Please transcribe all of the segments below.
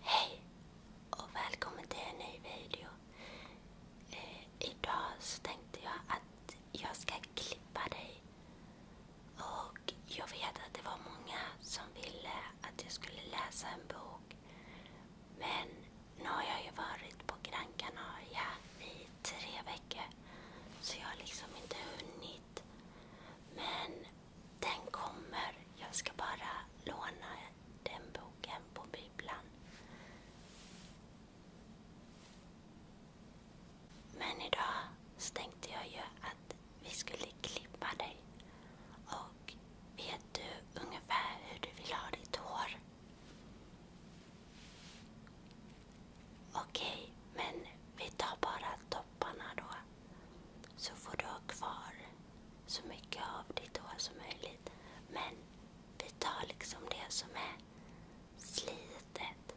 Hej och välkommen till en ny video. Eh, idag så tänkte jag att jag ska klippa dig. Och jag vet att det var många som ville att jag skulle läsa en bok. Men nu har jag ju varit på Gran Canaria i tre veckor så jag har liksom inte hunnit. Men den kommer. Jag ska bara låna den boken på bibblan. Men idag så tänkte jag ju att vi skulle klippa dig. Och vet du ungefär hur du vill ha ditt hår? Okej, men vi tar bara topparna då. Så får du ha kvar så mycket av ditt hår som möjligt. Men vi tar liksom det som är slitet.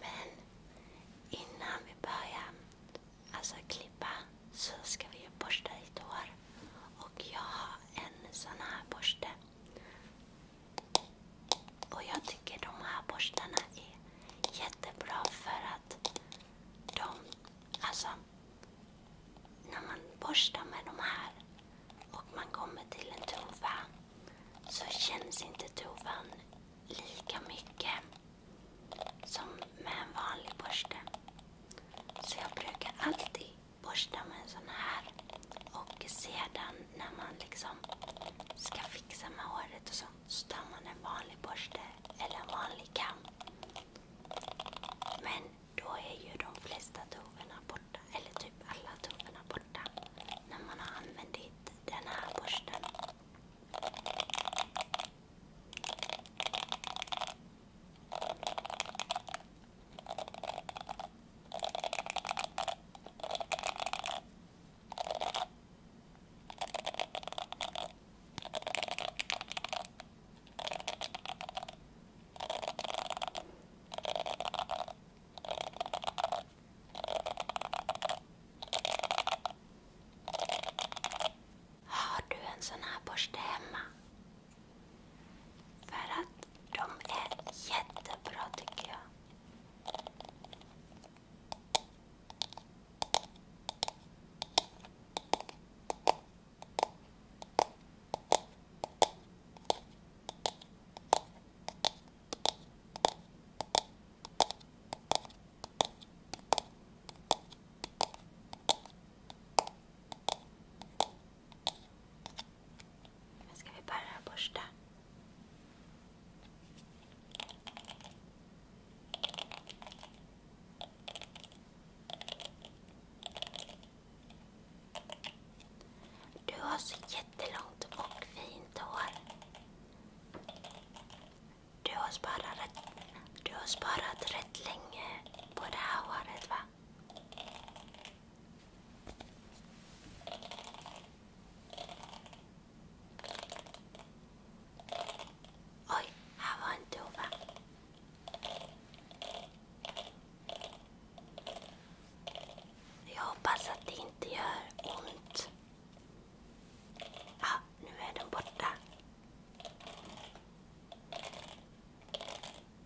Men innan vi börjar alltså klippa så ska vi ju borsta ditt hår. Och jag har en sån här borste. Och jag tycker de här borstarna är jättebra för att de, alltså när man borstar med de här och man kommer till en tova så känns inte tovan lika mycket som med en vanlig borste. Så jag brukar alltid borsta med en sån här. Och sedan när man liksom ska fixa med håret och sånt så tar man en vanlig borste eller en vanlig kam. Men då är ju de flesta tovorna borta, eller typ alla tovorna borta när man har använt den här borsten. Har du en sån här borste hemma? För att de är jättebra tycker jag ska vi börja borsta? Du har så jättelångt och fint hår. du har sparat rätt länge på det här håret va? Oj, här var en dova. Jag hoppas att det inte gör ont. Ja, nu är den borta.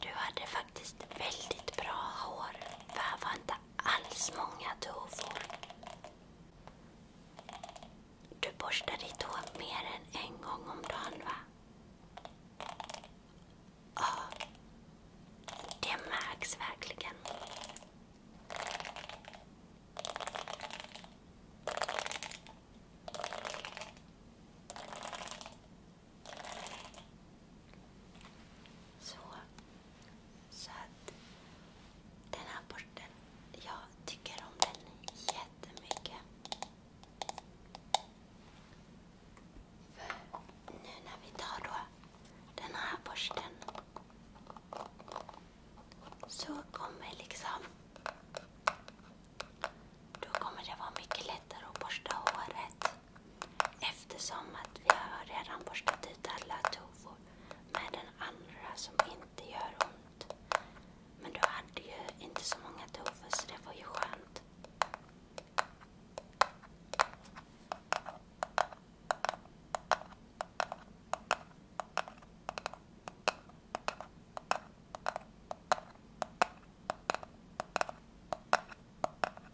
Du hade faktiskt väldigt bra hår. Det var inte alls många tovor. Du borstar ditt hår mer än en gång om dagen, va? Ja, det märks verkligen. Så. att den här borsten, jag tycker om den jättemycket. nu när vi tar då den här borsten så kommer liksom då kommer det vara mycket lättare att borsta håret. Eftersom att vi har redan borstat ut alla tovor med den andra som inte gör ont. Men du hade ju inte så många tovor så det var ju skönt.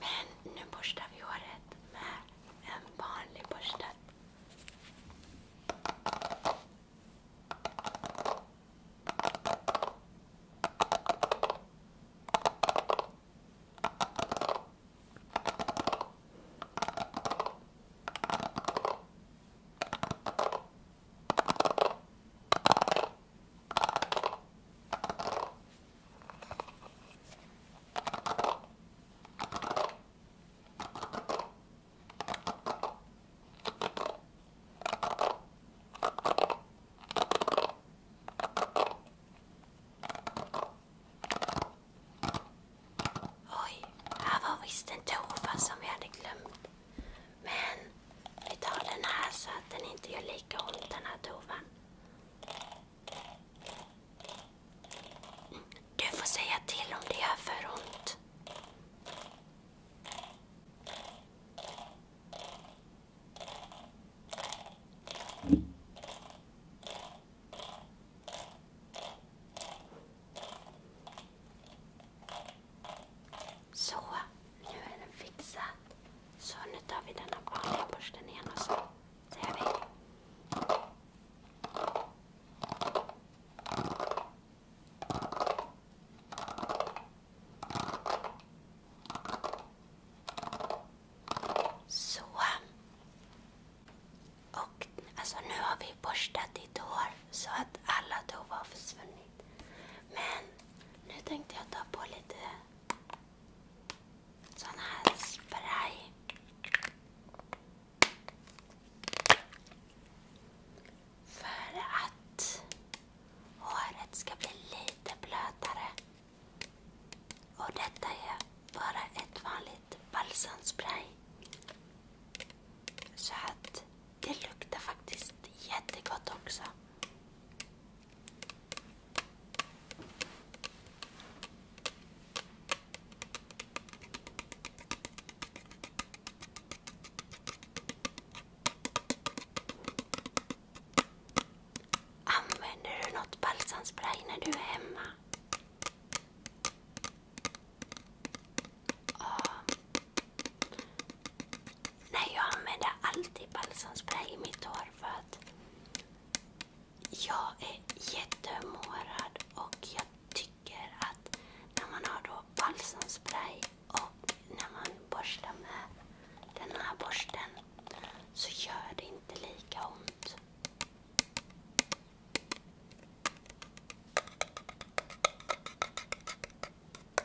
Men nu borstar vi håret med en vanlig borste. Oj, här var visst en tova som jag hade glömt. Men vi tar den här så att den inte gör lika ont den här tovan. Du får säga till om det gör för ont. Så, nu är den fixad. Så nu tar vi den vanliga borsten igen och så ser vi. Så. Och alltså nu har vi borstat ditt hår så att alla tår har försvunnit. Men nu tänkte jag ta på lite sån här spray. För att håret ska bli lite blötare. Och detta är bara ett vanligt balsamspray. Så att det luktar faktiskt jättegott också. Använder du något balsamspray när du är hemma? Ja. Nej, jag använder alltid balsamspray i mitt hår för att jag är jättemårad och jag tycker att när man har då balsamspray och när man borstar med den här borsten så gör det inte lika ont.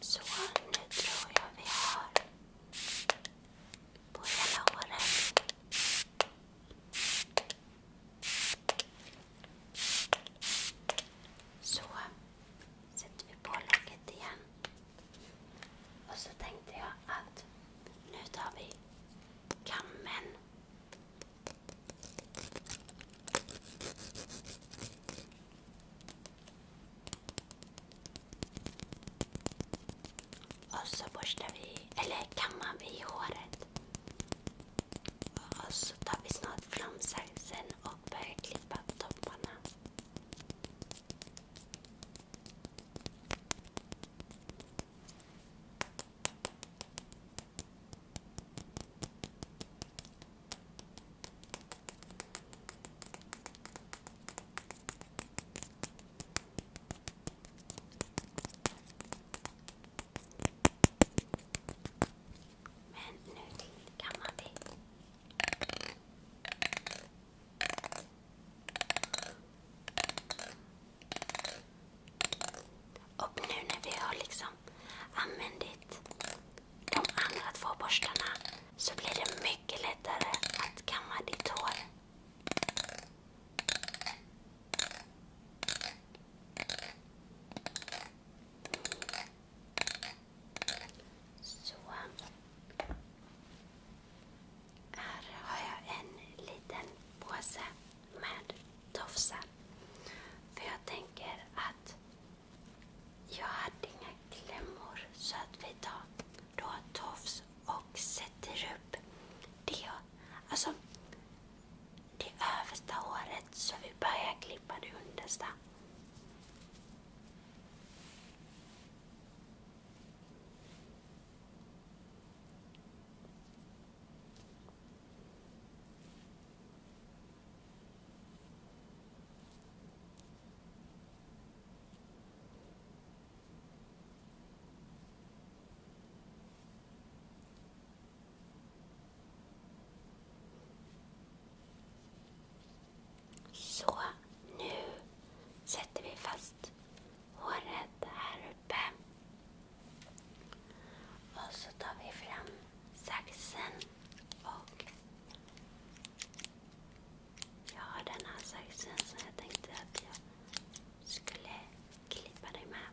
Så, nu tror jag vi har på hela håret. Så sätter vi på locket igen. Och så tänkte jag att nu tar vi kammen. Och så borstar vi, eller kammar vi håret. Och så tar vi snart fram saxen och börjar klippa topparna. Men nu till gammal Och nu när vi har liksom använt de andra två borstarna så blir det mycket lättare att kamma ditt hår. Här har jag en liten påse med tofsar. För jag tänker att jag hade inga klämmor så att vi tar tofs och sätter upp Alltså, det översta håret så vi börjar klippa det understa. Så, nu sätter vi fast håret här uppe. Och så tar vi fram saxen och jag har den här saxen som jag tänkte att jag skulle klippa dig med.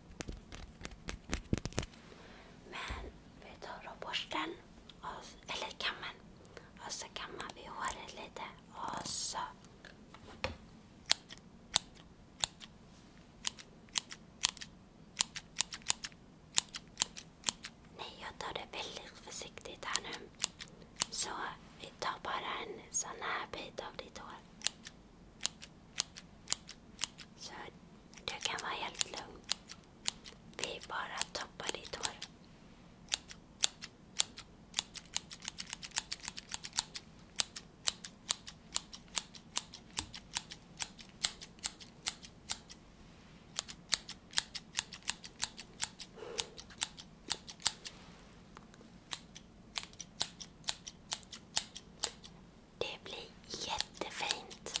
Men vi tar då borsten, eller kammen, och så kammar vi håret lite och så Nej, jag tar det väldigt försiktigt här nu. Så vi tar bara en sån här bit av ditt hår. Så du kan vara helt lugn. Vi bara toppar ditt hår. Det blir jättefint.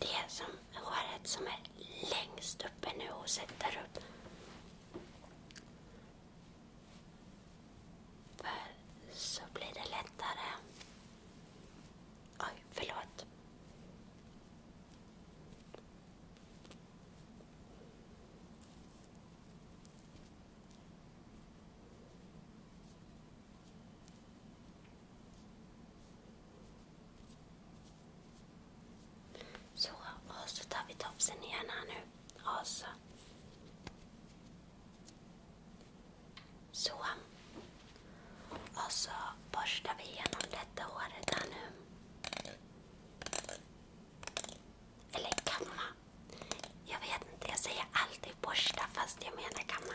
det som håret som är längst uppe nu och sätter upp. För så blir det lättare. Oj, förlåt. Så, och så tar vi topsen igen här nu. Och så. Så. Och så borstar vi igenom detta håret här nu. Eller kamma. Jag vet inte, jag säger alltid borsta fast jag menar kamma.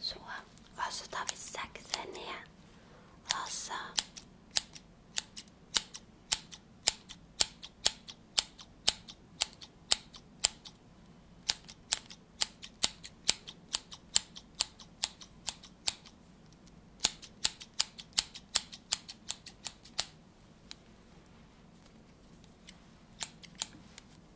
Så. Och så tar vi sakta ner. Och så.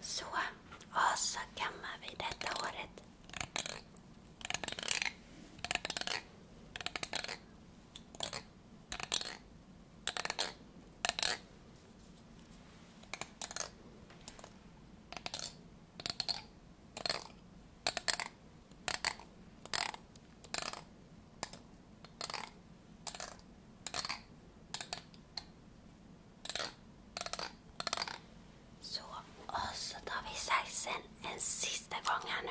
Så, och så kammar vi detta håret. Så, och så tar vi saxen en sista gång här nu.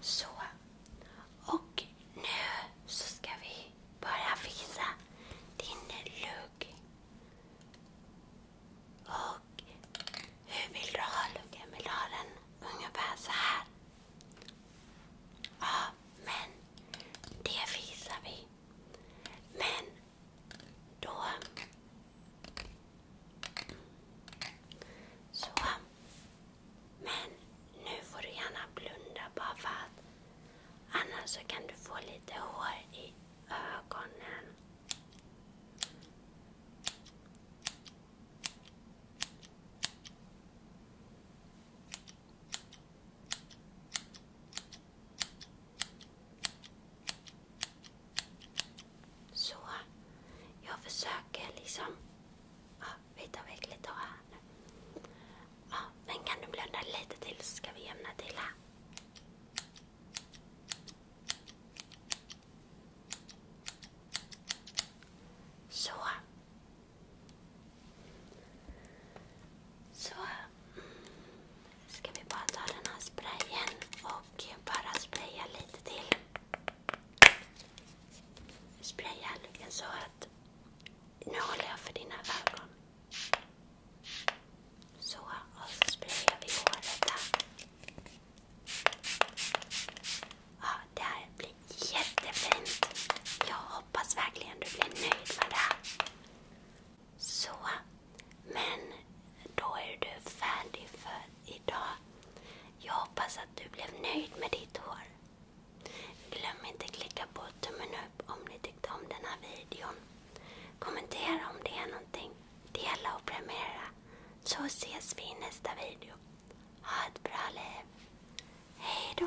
Så. Och nu så ska vi börja fixa din lugg. Och hur vill du ha luggen? Vill du ha den ungefär så här? Ja, men det visar vi. Men då... Så. Men nu får du gärna blunda bara för att annars så kan du få lite hår i ögonen. Så. Jag försöker liksom... Ja, vi tar väck lite här nu. men kan du blunda lite till så ska vi jämna till här. Så. Så ska vi bara ta den här sprayen och bara spraya lite till. Spraya så att nu håller jag för dina ögon. Så, och så sprayar vi håret här. Ja, det här blir jättefint. Jag hoppas verkligen du blir nöjd med det Så, men då är du färdig för idag. Jag hoppas att du blev nöjd med ditt hår. Glöm inte klicka på tummen upp upp om ni tyckte om den här videon. Kommentera om det är någonting. Dela och prenumerera. Så ses vi i nästa video. Ha ett bra liv. Hej då!